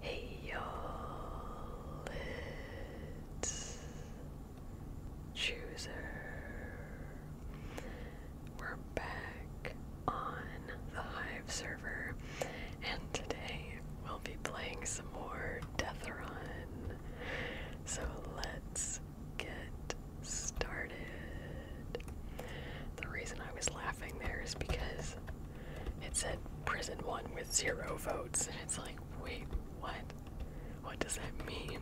Hey y'all, it's Chooser. We're back on the Hive server, and today we'll be playing some more Deathrun. So let's get started. The reason I was laughing there is because it said prison one with zero votes, and it's like, wait, what? What does that mean?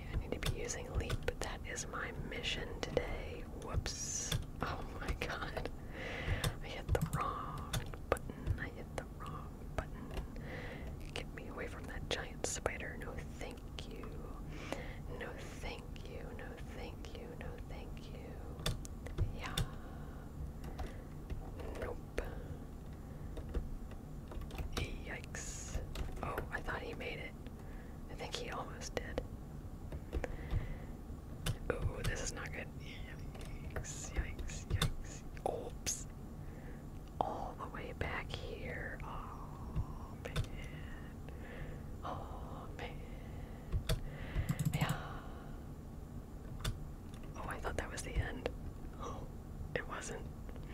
I need to be using Leap, but that is my mission today. Whoops. Oh my god. I hit the wrong button. I hit the wrong button. Get me away from that giant spider. No, no, thank you. No thank you. No thank you. No thank you. Yeah. Nope. Yikes. Oh, I thought he made it. I think he almost did. Oh, this is not good. Yikes, yikes, yikes. Oops all the way back here. Oh man. Oh man. Yeah. Oh, I thought that was the end. Oh, it wasn't.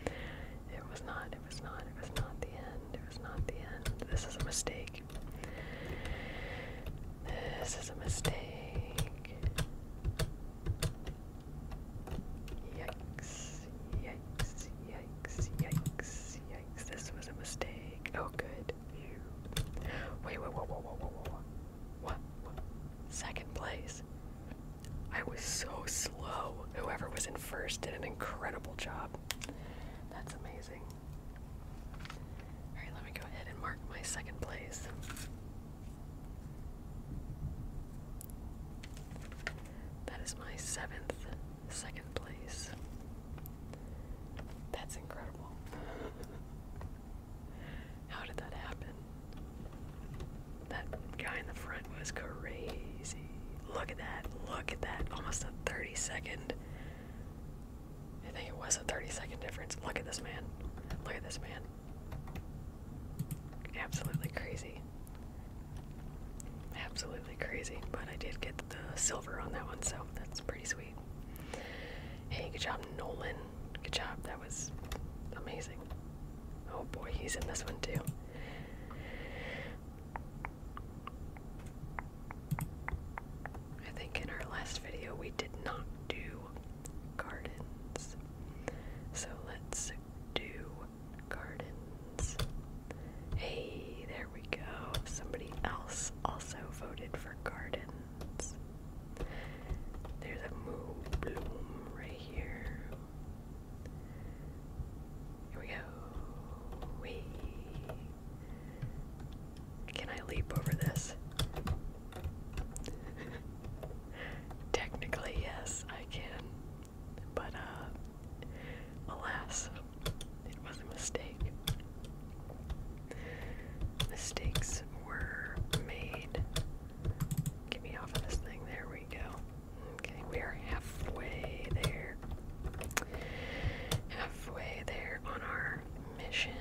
It was not. It was not. It was not the end. It was not the end. This is a mistake. This is a mistake. Yikes, yikes, yikes, yikes, yikes. This was a mistake. Oh, good. Phew. Wait, wait, whoa, whoa, whoa, whoa, what? Second place. I was so slow. Whoever was in first did an incredible job. That's amazing. Alright, let me go ahead and mark my second place. That is my seventh second place. That's incredible. How did that happen? That guy in the front was crazy. Look at that. Look at that. Almost a 30 second. I think it was a 30 second difference. Look at this man. Look at this man. Absolutely crazy. Absolutely crazy, but I did get the silver on that one, so that's pretty sweet. Hey, good job, Nolan. Good job, that was amazing. Oh boy, he's in this one too. I think in our last video we did not do gardens. So let's do Gardens. Hey, there we go. Somebody else also voted for Gardens. There's a move bloom right here. Here we go. Wee. Can I leap over this? Technically, yes, I can. But, uh, alas, it was a mistake. Mistakes were made. Get me off of this thing. There we go. Okay, we are halfway there. Halfway there on our mission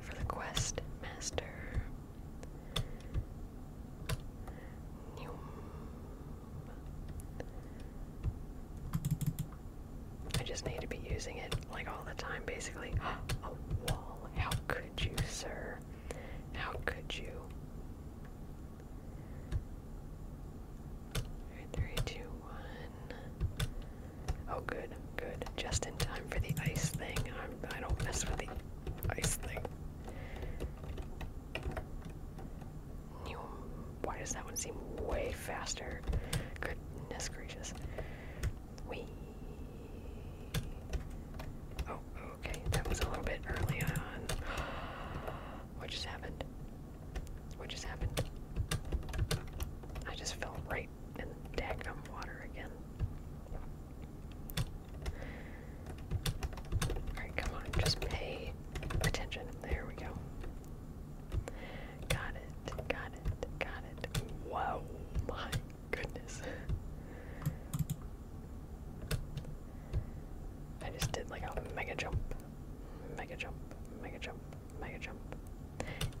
for the quest master. I just need to be using it like all the time, basically. A wall. How could you, sir? How could you? Three, two, one. Oh, good, good. Just in time for the ice thing. I'm, i do not mess with the ice thing why does that one seem way faster? Goodness gracious. We. Oh, okay. That was a little bit early on. What just happened? What just happened? I just fell right in the water again. Alright, come on, just pay attention. There we go. Got it, got it, got it. Whoa, my goodness. I just did like a mega jump, mega jump, mega jump, mega jump.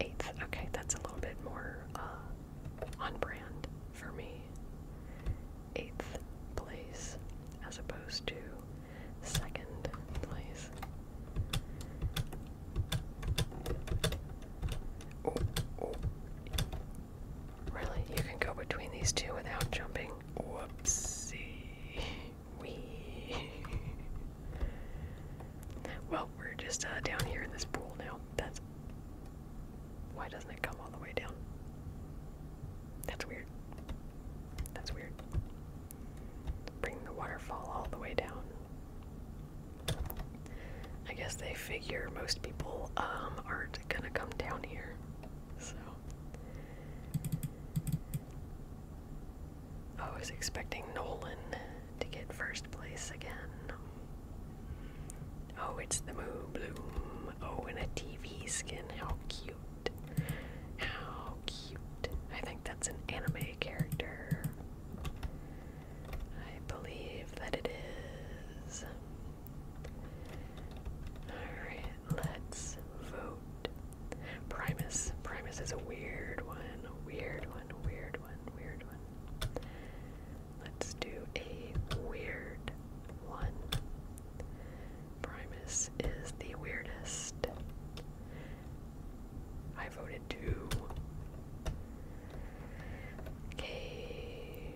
Eighth, okay, that's a little bit more uh, on brand for me. Eighth place as opposed to second place. Oh, oh. Really? You can go between these two without jumping? Whoopsie. Wee. well, we're just uh, down here in this pool now. That's why doesn't it come all the way down? That's weird. That's weird. Bring the waterfall all the way down. I guess they figure most people um, aren't gonna come down here. So. I was expecting Nolan to get first place again. Oh, it's the Moo Bloom. Oh, in a TV skin. How cute. How cute. I think that's an anime character. I believe that it is. Alright, let's vote. Primus. Primus is a weird one. weird one. Weird one. Weird one. Let's do a weird one. Primus is the weirdest. I voted two. Okay.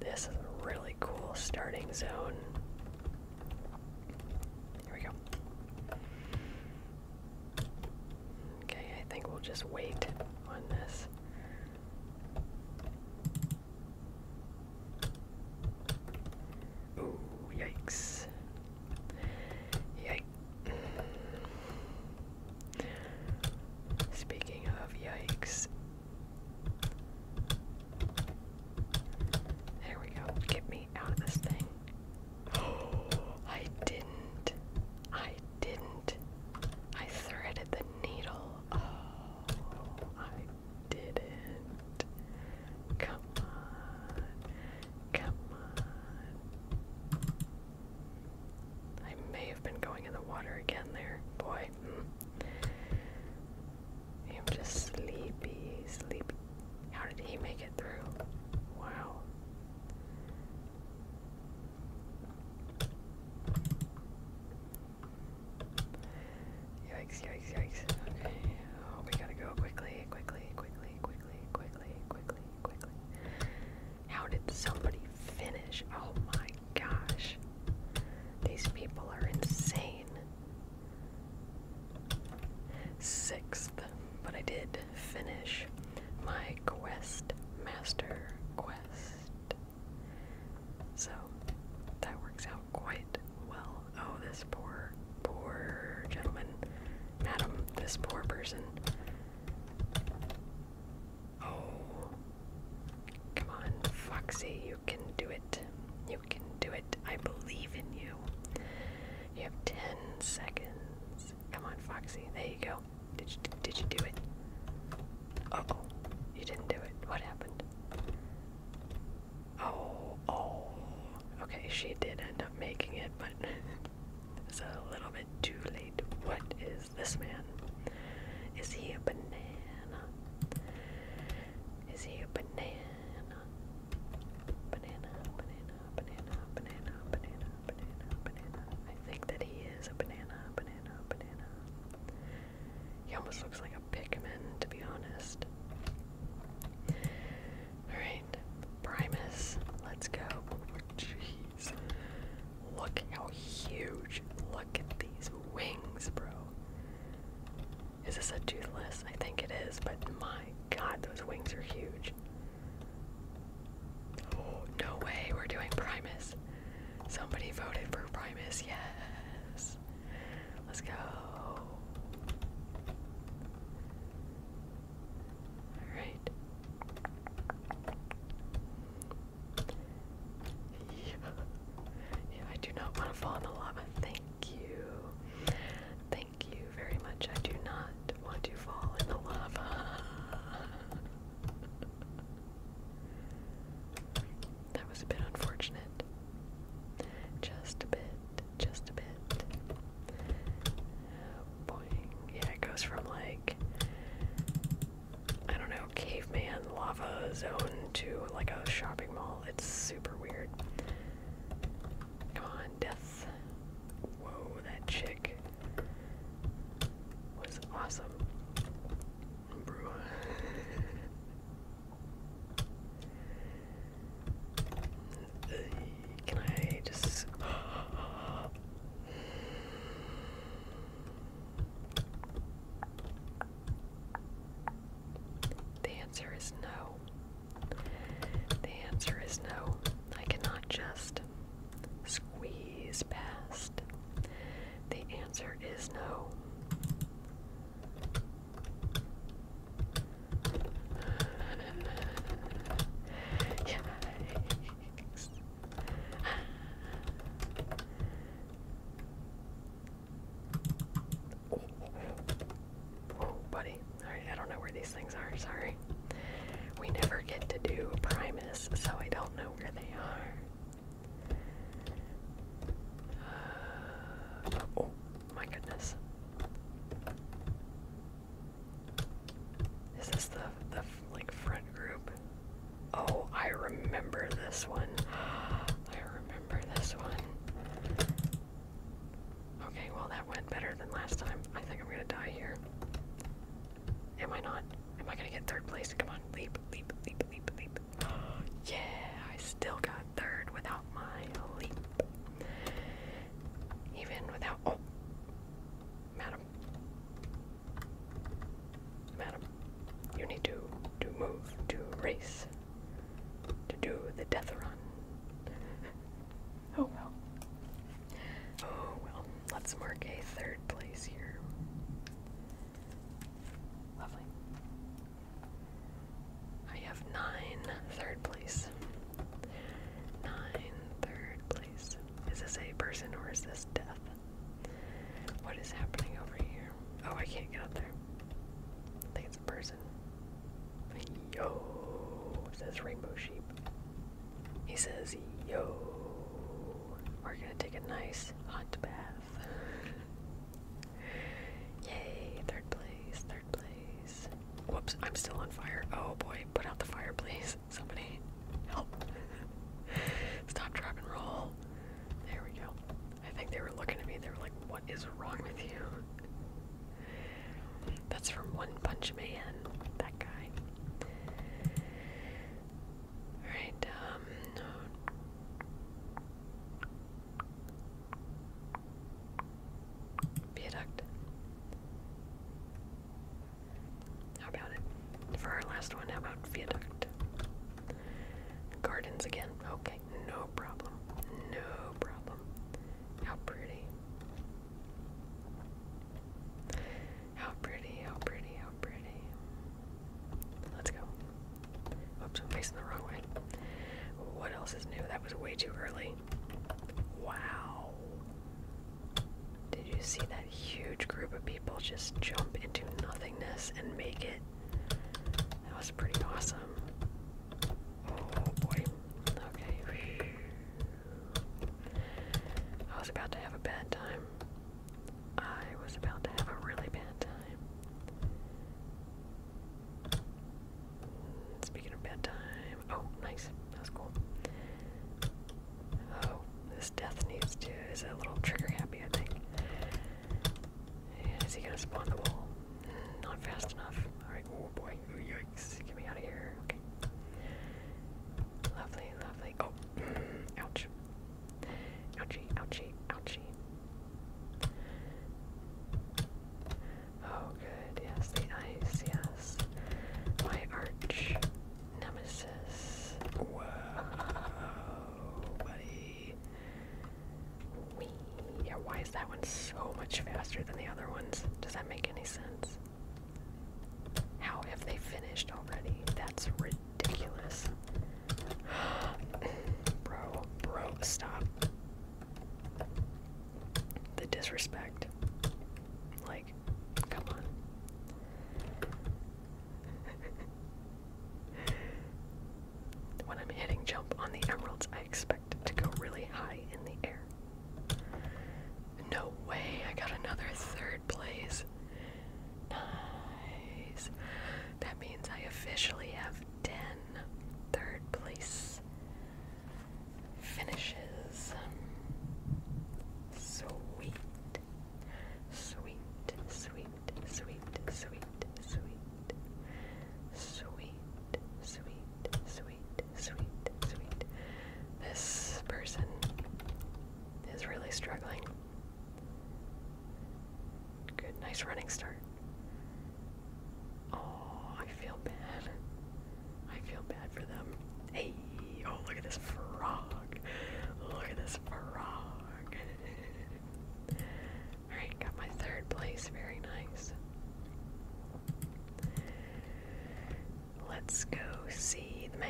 This is a really cool starting zone. Here we go. Okay, I think we'll just wait on this. Oh, yikes. Yikes. Speaking of yikes. There we go. Get me out of this thing. I didn't. I didn't. I threaded the needle. Oh, I didn't. Come on. Come on. I may have been going in the water again there, boy. Hmm. I'm just sleepy, sleepy. How did he make it through? Wow. Yikes, yikes, yikes. Okay. Oh, we gotta go quickly, quickly, quickly, quickly, quickly, quickly, quickly. How did somebody finish? Oh my gosh. These people are insane. Sixth, but I did finish my quest master quest. So that works out quite well. Oh, this poor, poor gentleman. Madam, this poor person. Oh. Come on, Foxy, you can do it. You can do it. I believe in you. You have 10 seconds. Come on, Foxy. There you go did you did you do it? oh, you didn't do it. What happened? Oh, oh. Okay, she did end up making it, but it's a little bit too late. What is this man? Is he a banana? Is he a banana? Banana, banana, banana, banana, banana, banana, banana. I think that he is a banana, banana. He almost looks like a Pikmin, to be honest. Alright, Primus, let's go. Jeez. Look how huge. Look at these wings, bro. Is this a toothless? I think it is, but my god, those wings are huge. Oh, no way, we're doing Primus. Somebody voted for Primus, yes. Let's go. Alright. Yeah. yeah, I do not want to fall in the lava. Thank you. Thank you very much. I do not want to fall in the lava. that was a bit unfortunate. Just a bit, just a bit. Boing. Yeah, it goes from like, I don't know, caveman lava zone to like a shopping mall. It's super weird. Come on, death. Whoa, that chick was awesome. can I just The answer is no. The answer is no. I cannot just Squeeze past. The answer is no. Yikes. oh buddy. Alright, I don't know where these things are, sorry. We never get to do Primus, so I don't know where they are. Uh, oh my goodness. Is this the, the like front group? Oh, I remember this one. I remember this one. Okay, well that went better than last time. I think I'm gonna die here. Am I not? Am I gonna get third place? Come on, leap, leap, leap, leap, leap. yeah, I still got third without my leap. Even without oh Madam. Madam, you need to to move, to race, to do the death run. Oh well. Oh well. Let's mark a third place here. Lovely. I have nine third place. Nine third place. Is this a person or is this death? What is happening over here? Oh, I can't get up there. I think it's a person. Yo, it says rainbow sheep. He says, Yo, we're gonna take a nice hot bath. Yay, third place, third place. Whoops, I'm still on fire. Oh boy, put out the fire, please. Somebody help. Stop, drop, and roll. There we go. I think they were looking at me. They were like, What is wrong with you? That's from One Punch Man. That guy. Alright, Viaduct. Um, how about it? For our last one, how about Viaduct? Gardens again. Okay, no problem. No problem. How pretty. How pretty, how pretty, how pretty. Let's go. Oops, I'm facing the wrong way. What else is new? That was way too early. Wow. Did you see that huge group of people just jump into nothingness and make it? That was pretty awesome. Oh boy. Okay. I was about to have a bad time. I was about to have a really bad time. Speaking of bad time. Oh, nice. That was cool. Oh, this death needs to is a little trigger happy, I think. is he gonna spawn the wall? Not fast enough. Alright, oh boy. Get me out of here. Okay. Lovely, lovely. Oh. Ouch. Ouchie, ouchie, ouchie. Oh, good. Yes, the ice. Yes. My arch nemesis. Whoa, buddy. Wee. Yeah, why is that one so much faster than the other ones? Does that make any sense? How have they finished already? That's ridiculous. bro, bro, stop. The disrespect. Like, come on. when I'm hitting jump on the emeralds, I expect to go really high in the air. No way, I got another third place. Nice. That means I officially have 10 third place finishes. Sweet. Sweet, sweet, sweet, sweet, sweet. Sweet, sweet, sweet, sweet, sweet. This person is really struggling. Good, nice running start. Oh, I feel bad. I feel bad for them. Hey, oh, look at this frog. Look at this frog. Alright, got my third place. Very nice. Let's go see the man.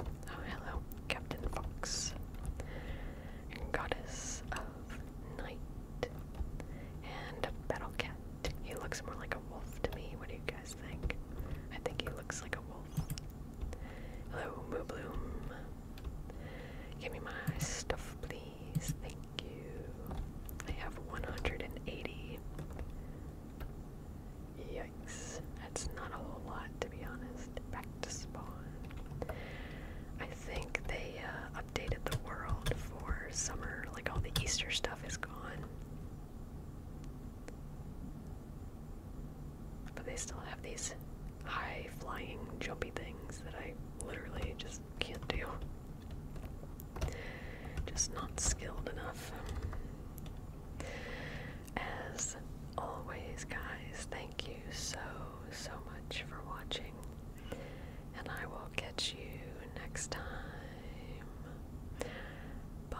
Oh, hello, Captain Fox, Goddess of Night, and a battle cat. He looks more like a wolf to me. What do you guys think? I think he looks like a wolf. Hello, Moo Bloom. Give me my stuff, please. Thank you. I have 180. Yikes. That's not a whole lot, to be honest. Back to spawn. I think they uh, updated the world for summer. Like, all the Easter stuff is gone. But they still have these high flying, jumpy things that I literally just can't do. Just not skilled enough. As always, guys, thank you so, so much for watching. And I will catch you next time. Bye.